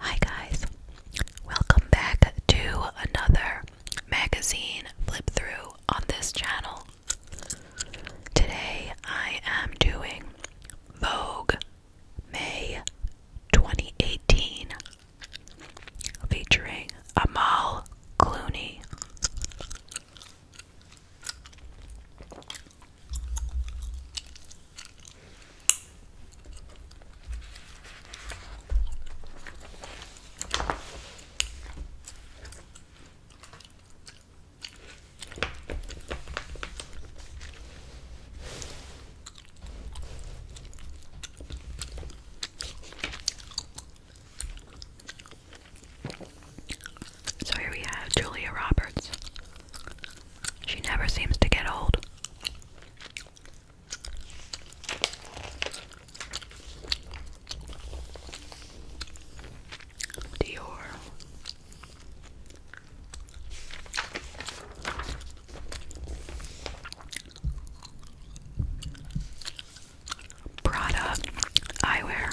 Hi guys, welcome back to another magazine flip through on this channel. Today I am doing Vogue May 2018 featuring Amal Clooney. So here we have Julia Roberts she never seems to get old. Dior. Prada eyewear.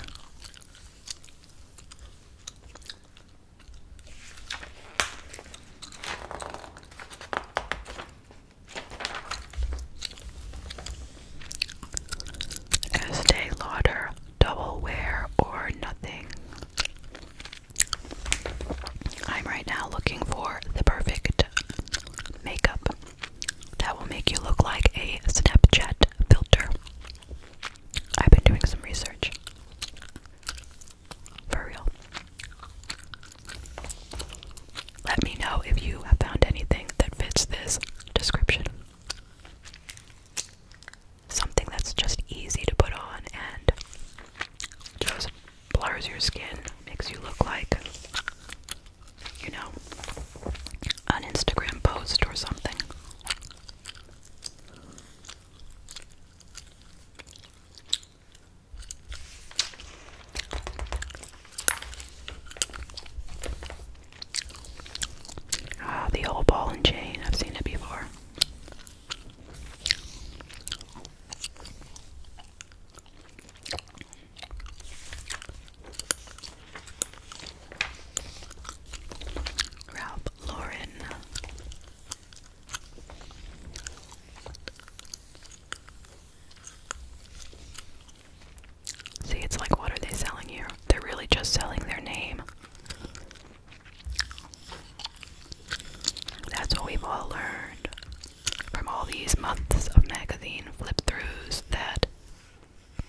Estee Lauder Double Wear or Nothing. I'm right now looking for the perfect makeup that will make you look like a Snapchat filter. I've been doing some research. For real. Let me know if you have found anything that fits this description. Something that's just easy to put on and just blurs your skin, makes you look like, you know, an Instagram post or something. Ah, the old ball and chain. I've seen it before. Ralph Lauren See, it's like, what are they selling here? They're really just selling their name. That's what we've all learned from all these months of magazine flip throughs that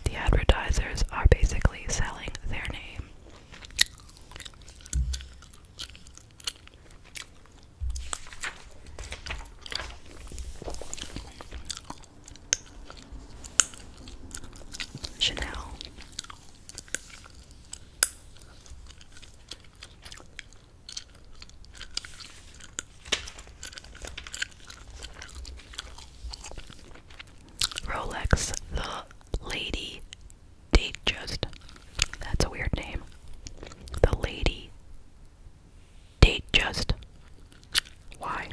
the advertisers are basically selling their name. Chanel. Rolex, the lady date just that's a weird name. The lady date just why?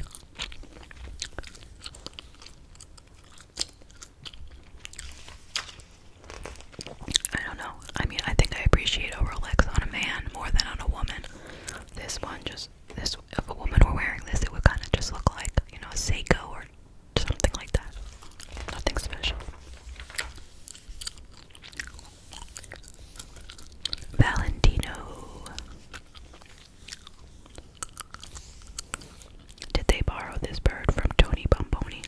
I don't know. I mean, I think I appreciate a Rolex on a man more than on a woman. This one just this if a woman were wearing this, it would kind of just look like you know a Seiko or something like that. Nothing special. Valentino. Did they borrow this bird from Tony Bomboni?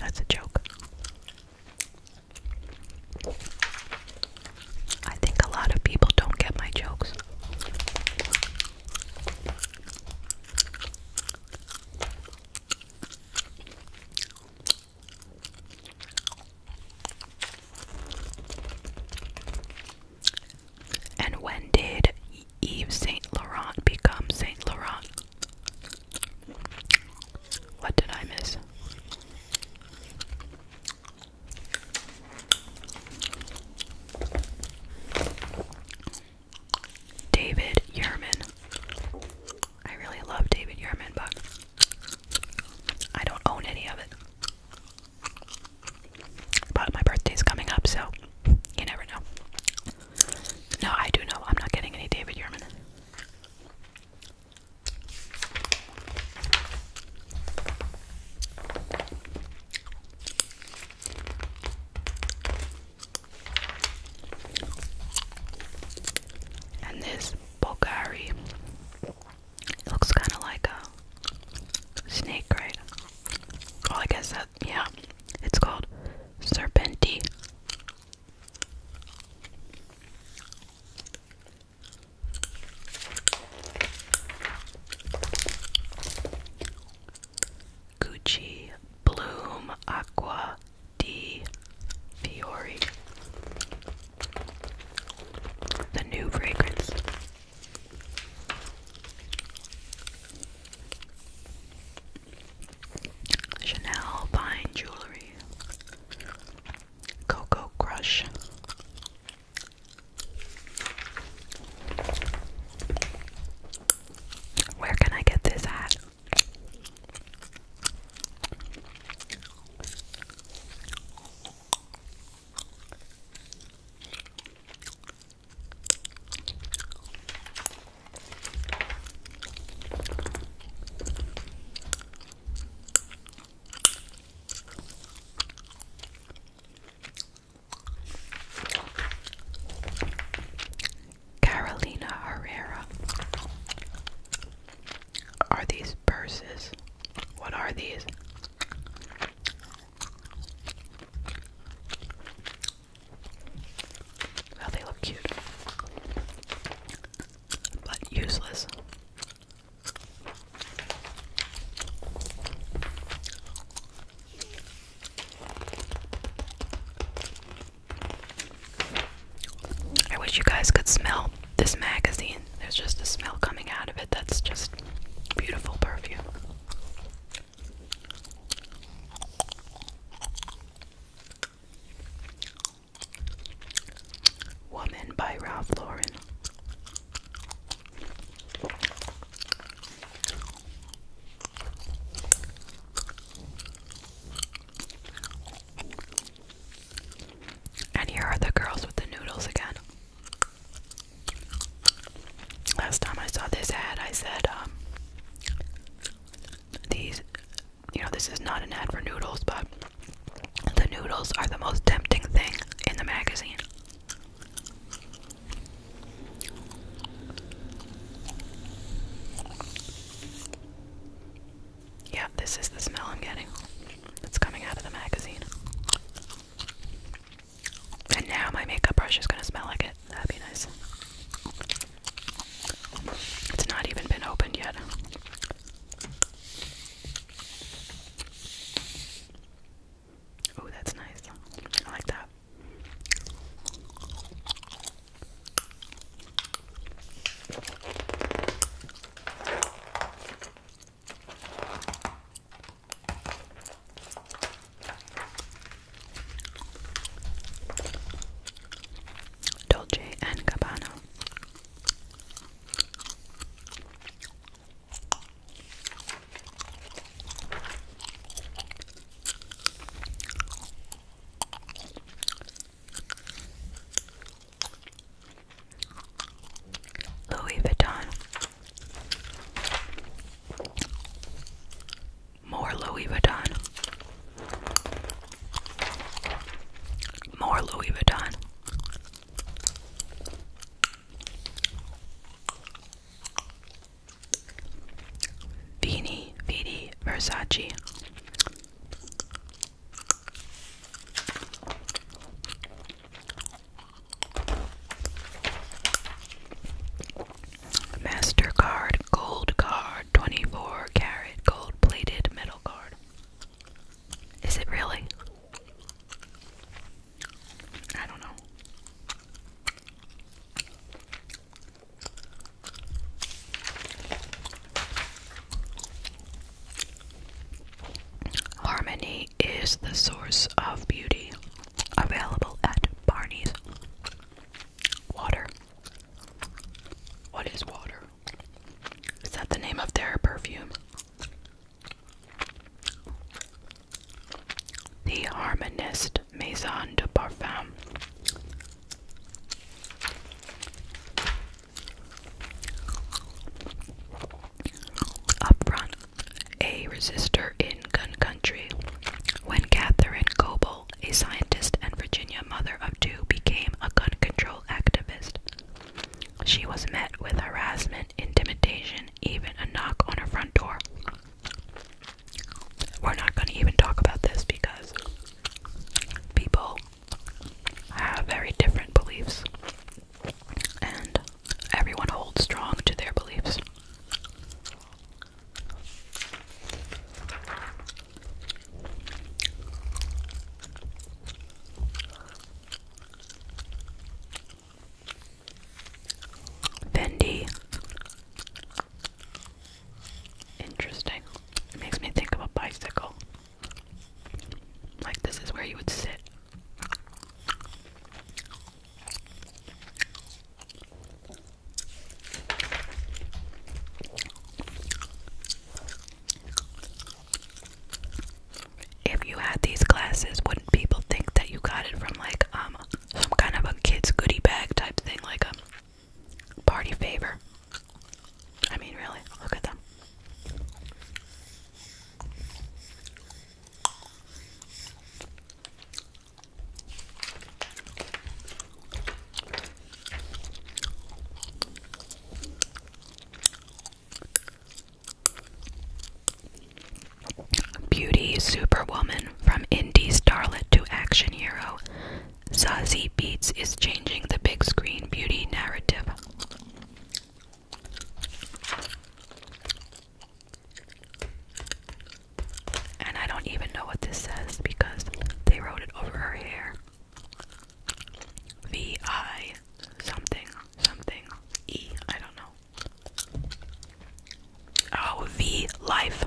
That's a joke. I think a lot of people don't get my jokes. And when did Yves Saint Laurent become Saint Laurent? What did I miss? David Yerman. I really love David Yerman, but I don't own any of it. But my birthday's coming up, so you never know. No, I do know. I'm not getting any David Yerman. And this Bulgari. looks kind of like a snake, right? Oh, I guess that, yeah. It's called Serpenti. Gucci Bloom Aqua di Fiori. The new fragrance. Chanel Fine Jewelry. Coco Crush. Where can I get this at? Carolina Herrera. Are these purses? What are these? Well, they look cute, but useless. I wish you guys could smell this magazine. There's just a smell coming out of it that's just beautiful perfume. Woman by Ralph Lauren. And here are the girls with the noodles again. Last time I saw this ad, I said, um, these, you know, this is not an ad for noodles, but the noodles are the most tempting thing in the magazine. Yeah, this is the smell I'm getting. That's coming out of the magazine. And now my makeup brush is gonna smell like it. That'd be nice. It's not even been opened yet. Oh, that's nice. I like that. Dolce and Gabbana. Louis Vuitton. More Louis Vuitton. More Louis Vuitton. Vini, Vidi, Versace. Mastercard Gold Card 24 Carat Gold Plated Metal Card. Is it really? I don't know. Harmony is the source of beauty, available at Barney's. Water. What is water? Is that the name of their perfume? The Harmonist Maison de Parfum. Up a resistor in gun country. When Catherine Coble, a scientist and Virginia mother of two, became a gun control activist, she was met with harassment, intimidation, even a knock on her front door. We're not going to even talk about this because people have very different beliefs and everyone holds strong to their beliefs. Bendy. Interesting. makes me think of a bicycle. Like, this is where you would sit. If you had these glasses, wouldn't people think that you got it from like um some kind of a kid's goody bag type thing, like a party favor. I mean, really, look at them. Beauty superwoman from indie starlet to action hero, Zazie Beats is changing the big screen beauty narrative. And I don't even know what this says because they wrote it over her hair. V I something something E. I don't know. Oh, V life.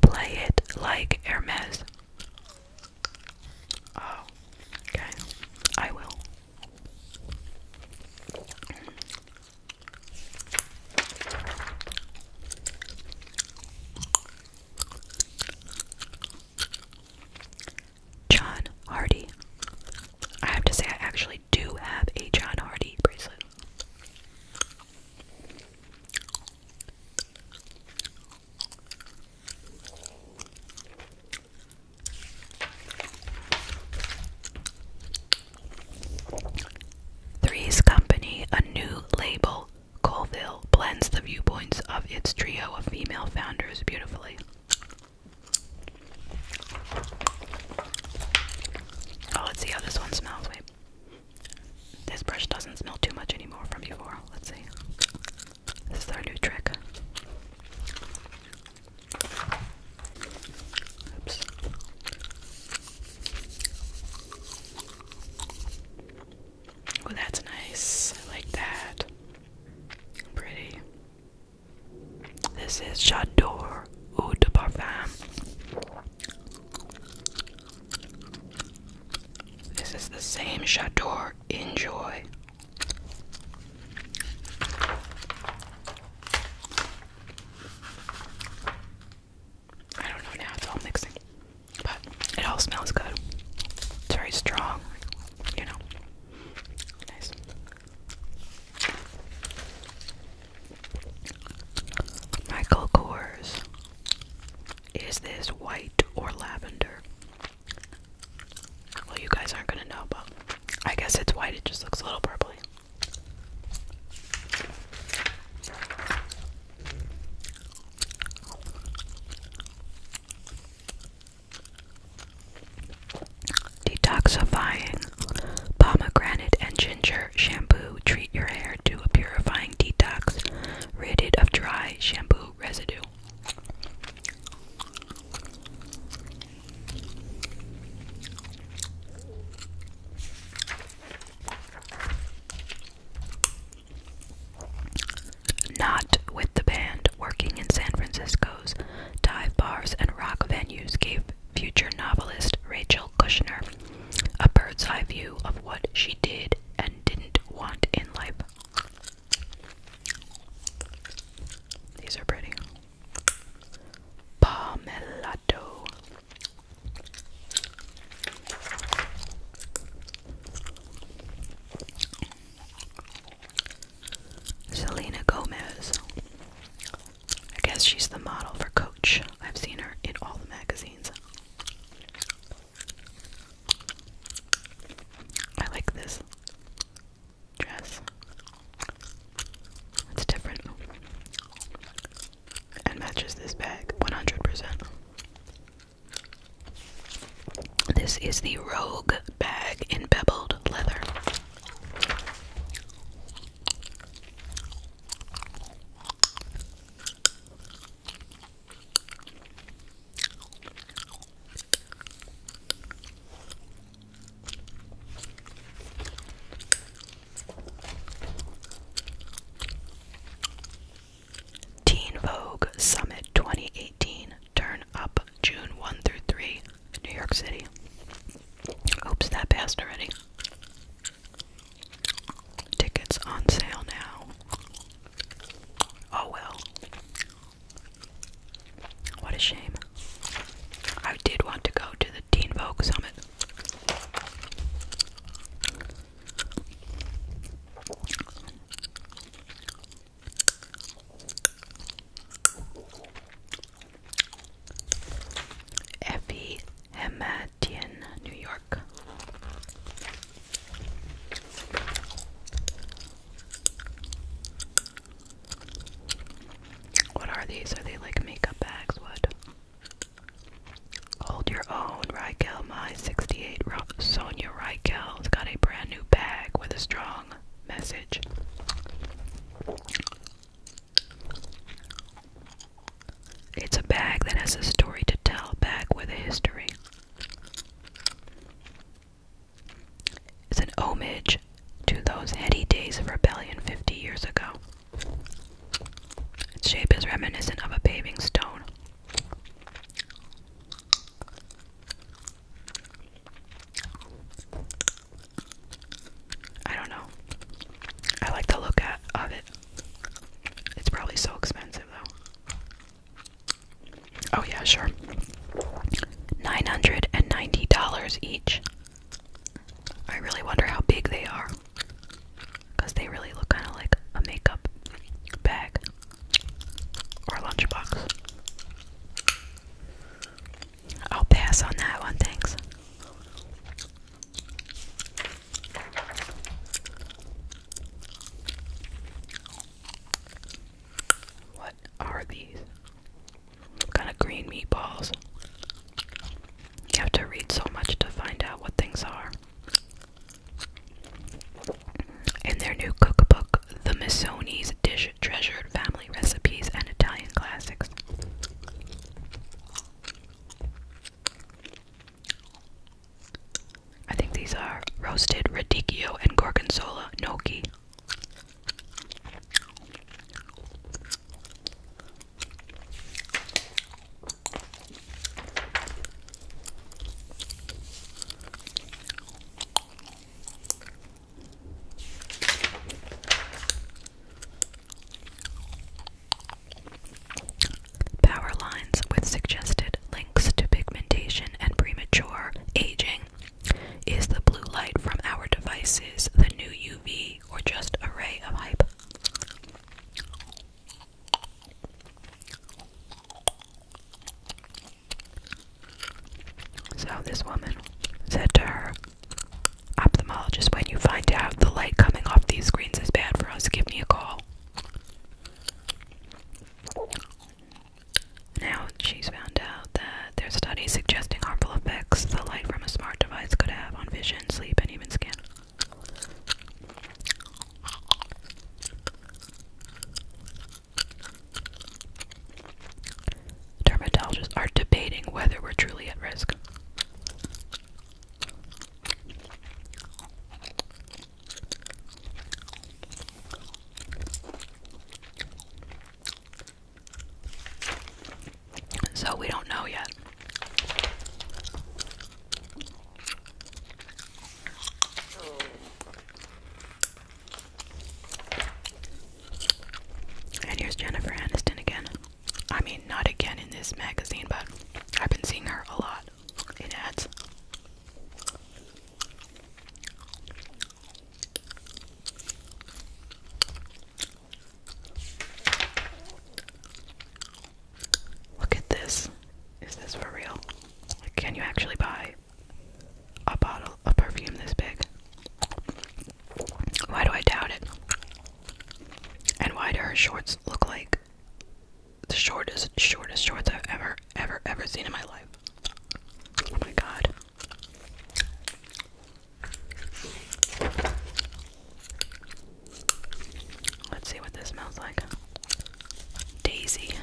Play it like Hermes. Oh, okay. I will. John Hardy. I have to say, I actually do have a John Hardy bracelet. Three's Company, a new label, Colville, blends the viewpoints of its trio of female founders beautifully. Oh, let's see how this one smells. Wait. This brush doesn't smell too much anymore from before. Let's see. This is our new trick. Oops. Oh, that's nice. I like that. Pretty. This is J'adore Eau de Parfum. This is the same J'adore Enjoy. I don't know now, it's all mixing. But it all smells good. It's very strong, you know. Nice. Michael Kors. Is this white or lavender? Well, you guys aren't gonna know, but I guess it's white, it just looks a little purpley. Detoxifying pomegranate and ginger shampoo. Treat your hair to a purifying detox, rid it of dry shampoo residue. Not with the band working in San Francisco's dive bars and rock venues gave future novelist Rachel Kushner a bird's eye view of what she did and didn't want in life. These are pretty. Pomelato. Selena Gomez. I guess she's the model for Coach. I've seen her in all the magazines. I like this dress. It's different. And matches this bag 100%. This is the Rogue bag in beveled leather. Teen Vogue Summit 2018 turn up June 1 through 3, New York City. Oops, that passed already. Tickets on sale now. Oh well. What a shame. I did want to go to the Teen Vogue Summit. Effie Hematian, New York. What are these? Are they like makeup bags? What? Hold your own, Raquel. My 68 Sonia Raquel's got a brand new bag with a strong message. It's a bag that has a story to tell, bag with a history. It's an homage to those heady days of rebellion 50 years ago. Its shape is reminiscent of a paving stone. I don't know. I like to look at of it. It's probably so expensive though. Oh yeah, sure. Nine hundred and ninety dollars each. I really wonder how big they are. Cause they really look kinda like a makeup bag or a lunchbox. I'll pass on that one, thanks. What are these? kind of green meatballs? You have to read so much to find out what things are. In their new cookbook, The Missoni's Dish Treasure family recipes and Italian classics. I think these are roasted radicchio and gorgonzola gnocchi. Power lines with suggested links to pigmentation and premature aging. Is the blue light from our devices the new UV or just a ray of hype? So this woman said to her ophthalmologist, when you find out the light coming off these screens is bad for us, give me a call. Now she's found out that there's studies suggesting harmful effects the light from a smart device could have on vision, sleep, and even skin. Dermatologists are debating whether we're truly at risk. So we don't know yet. And here's Jennifer Aniston again. I mean, not again in this magazine, but I've been seeing her a lot in ads. Look at this. Is this for real? can you actually buy a bottle bottle perfume this big? Why do I doubt it? And why do her shorts look like the shortest, shortest shorts I've ever, ever, ever seen in my life? Oh my god. Let's see what this smells like. Daisy.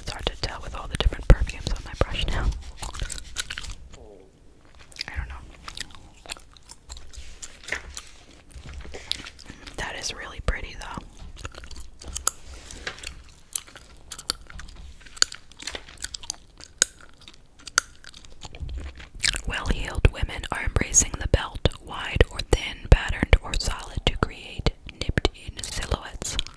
It's hard to tell with all the different perfumes on my brush now. I don't know. That is really pretty though. Well heeled women are embracing the belt, wide or thin, patterned or solid, to create nipped in silhouettes.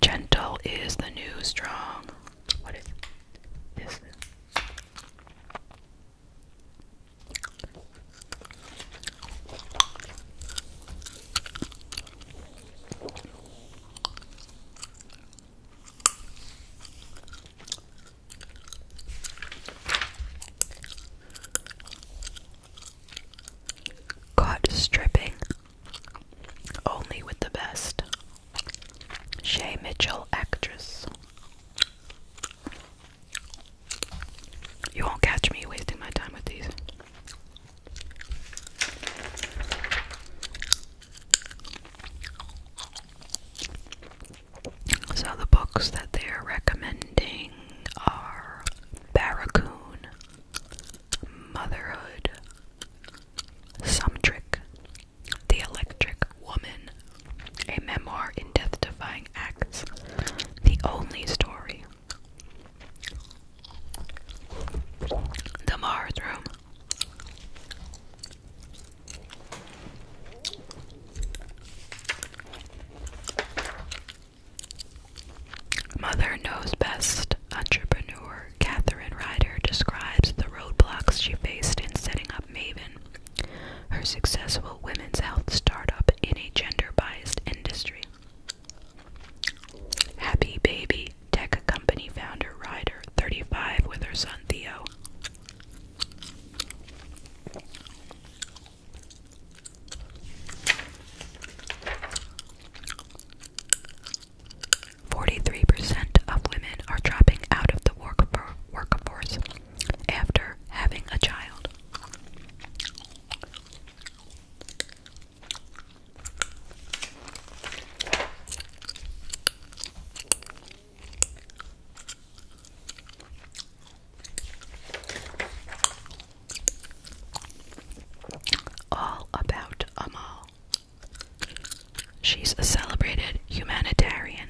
Gentle is the new strong. Caught stripping. Only with the best. Shay Mitchell, actress. You won't catch me wasting my time with these. So the books that they're recommending are Barracoon, Motherhood, Some Trick, The Electric Woman, A Memoir in Death Defying Acts, The Only Story, The Mars Room. Mother Knows Best entrepreneur Catherine Ryder describes the roadblocks she faced in setting up Maven, her successful women's health startup in a gender biased industry. Happy Baby tech company founder Ryder, 35, with her son Theo. Forty-three percent of women are dropping out of the work workforce after having a child. All about Amal. She's a celebrated humanitarian,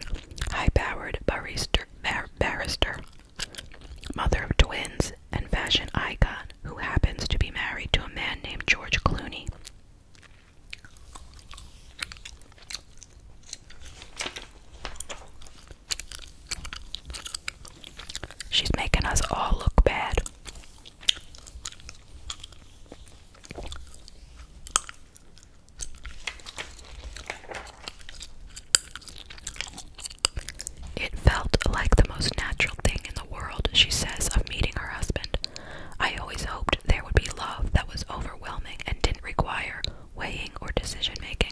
high powered barrister, barrister, mother of twins, and fashion icon who happens to be married to a man named George Clooney. She's making us all look bad. It felt like the most natural thing in the world, she says, of meeting her husband. I always hoped there would be love that was overwhelming and didn't require weighing or decision making.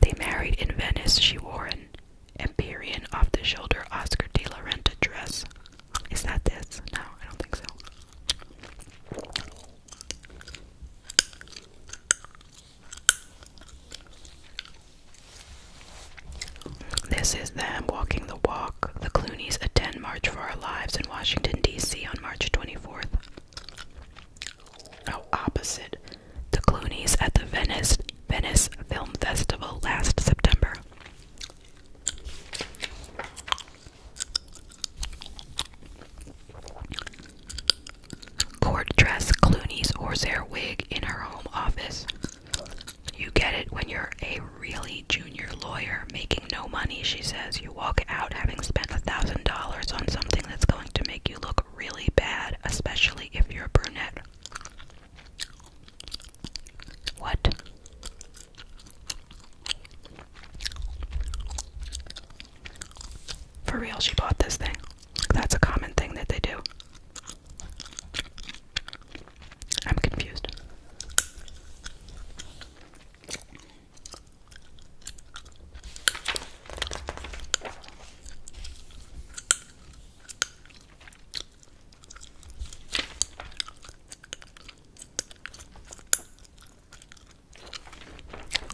They married in Venice. She wore an Empyrean off the shoulder Oscar de la Renta dress. Is that this? No, I don't think so. This is them walking the walk. The Clooney's attend March for Our Lives in Washington, D.C. on March 24th. Oh, opposite. The Clooney's at the Venice Venice Film Festival last September. Court dress Clooney's horsehair wig in her home office. You get it when you're a really junior lawyer making no money, she says. You walk out having spent a $1,000 on something that's going to make you look really bad, especially if you're a brunette. What? For real, she bought this thing. That's a common thing that they do. I'm confused.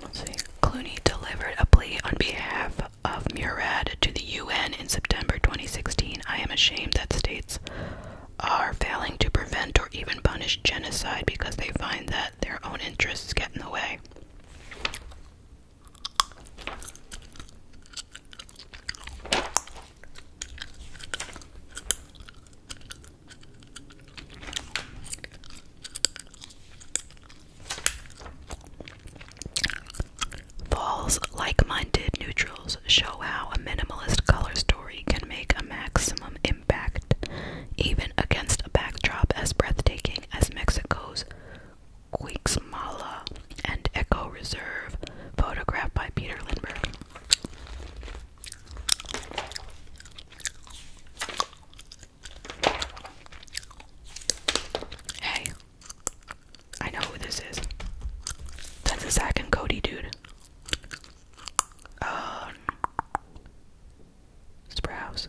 Let's see. Clooney delivered a plea on behalf of Murad to the UN in September 2016. I am ashamed that states are failing to prevent or even punish genocide because they find that their own interests get in the way. Fall's like minded neutrals show how a minimalist color story can make a maximum impact, even against a backdrop as breathtaking as Mexico's Quixmala and Echo Reserve, photographed by Peter Lindbergh. Hey, I know who this is. That's a Zach and Cody dude. Uh, Sprouse,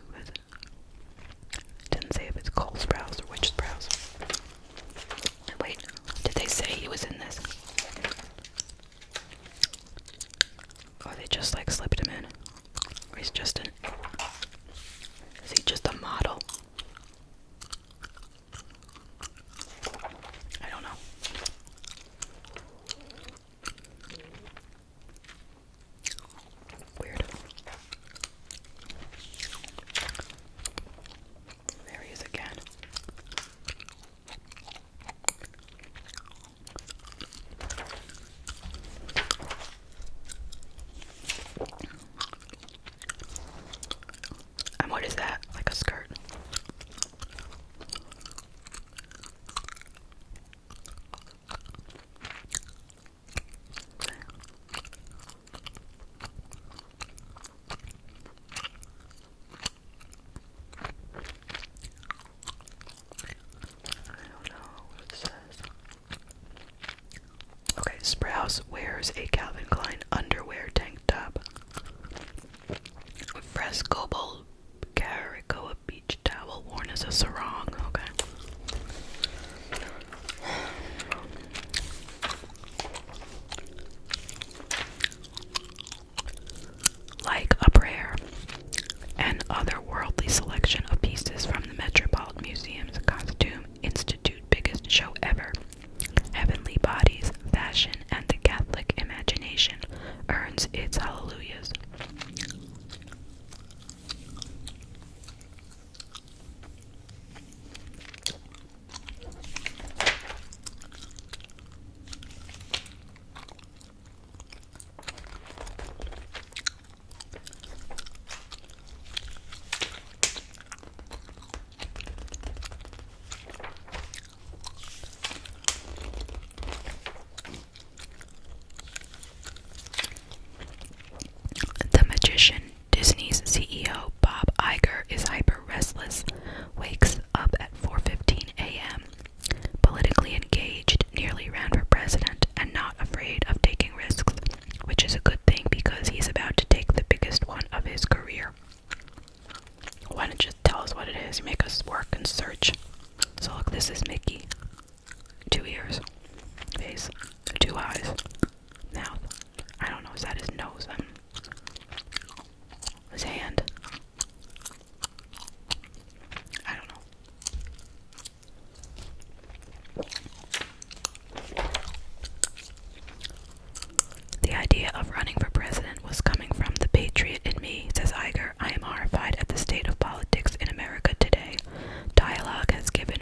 Didn't say if it's Cole Sprouse or Witch Sprouse. Wait, did they say he was in this? Or they just like slipped him in? Or he's just Is he just a model? I don't know. Weird. There he is again. And what is that? Like a skirt. I don't know what it says. Okay, Sprouse wears a Calvin Klein underwear tank top. Frescoble Caricoa beach towel worn as a sarong. Okay. Like a prayer, an otherworldly selection of pieces from the Metropolitan Museum's Costume Institute biggest show ever. Heavenly bodies, fashion, and the Catholic imagination earns its hallelujahs. The magician, Disney's CEO Bob Iger, is hyper restless, wakes up at 4:15 a.m., politically engaged, nearly ran for president, and not afraid of taking risks, which is a good thing because he's about to take the biggest one of his career. Why don't you tell us what it is? You make us work and search. So look, this is Mickey. Two ears, face, two eyes, mouth. I don't know, is that is. nose? Um, his hand. I don't know. The idea of running for president was coming from the patriot in me, says Iger. I am horrified at the state of politics in America today. Dialogue has given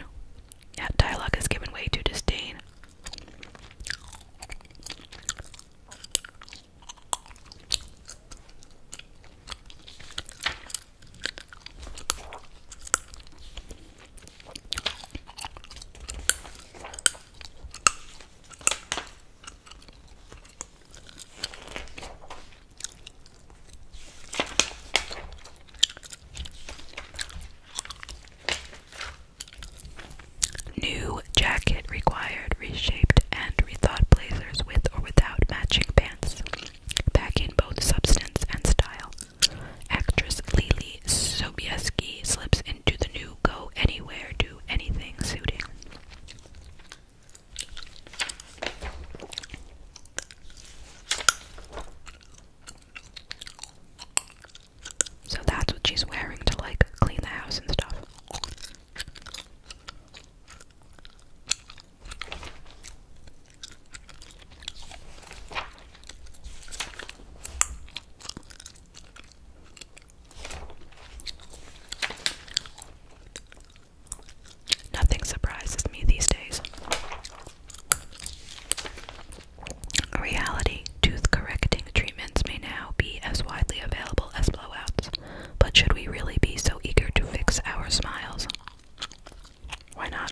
yeah, dialogue has given way to disdain. New jacket required reshaped and rethought blazers with or without matching pants, packing both substance and style. Actress Lily Sobieski slips in do the new go anywhere, do anything suiting. So that's what she's wearing to like clean the house and stuff. Nothing surprises me these days. Reality tooth correcting treatments may now be as widely available as blowouts, but should we really be so eager to fix our smiles? Why not?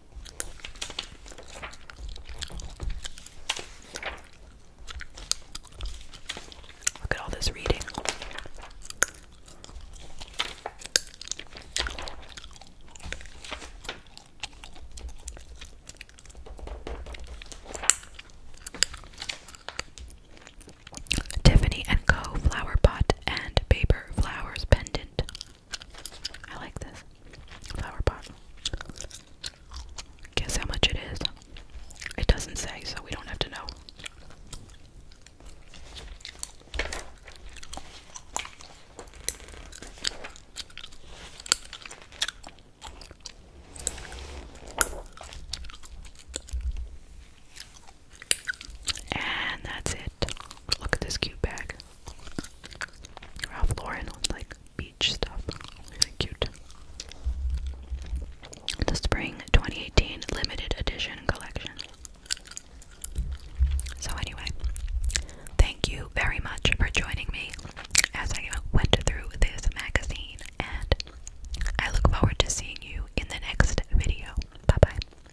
Look at all this reading. Tiffany and Co. flower pot and paper flowers pendant. I like this flower pot. Guess how much it is? It doesn't say, so we don't have to know. And that's it. Look at this cute bag. Ralph Lauren with like beach stuff. Really cute. The Spring 2018 Limited Edition Collection. So, anyway, thank you very much for joining me as I went through this magazine, and I look forward to seeing you in the next video. Bye bye.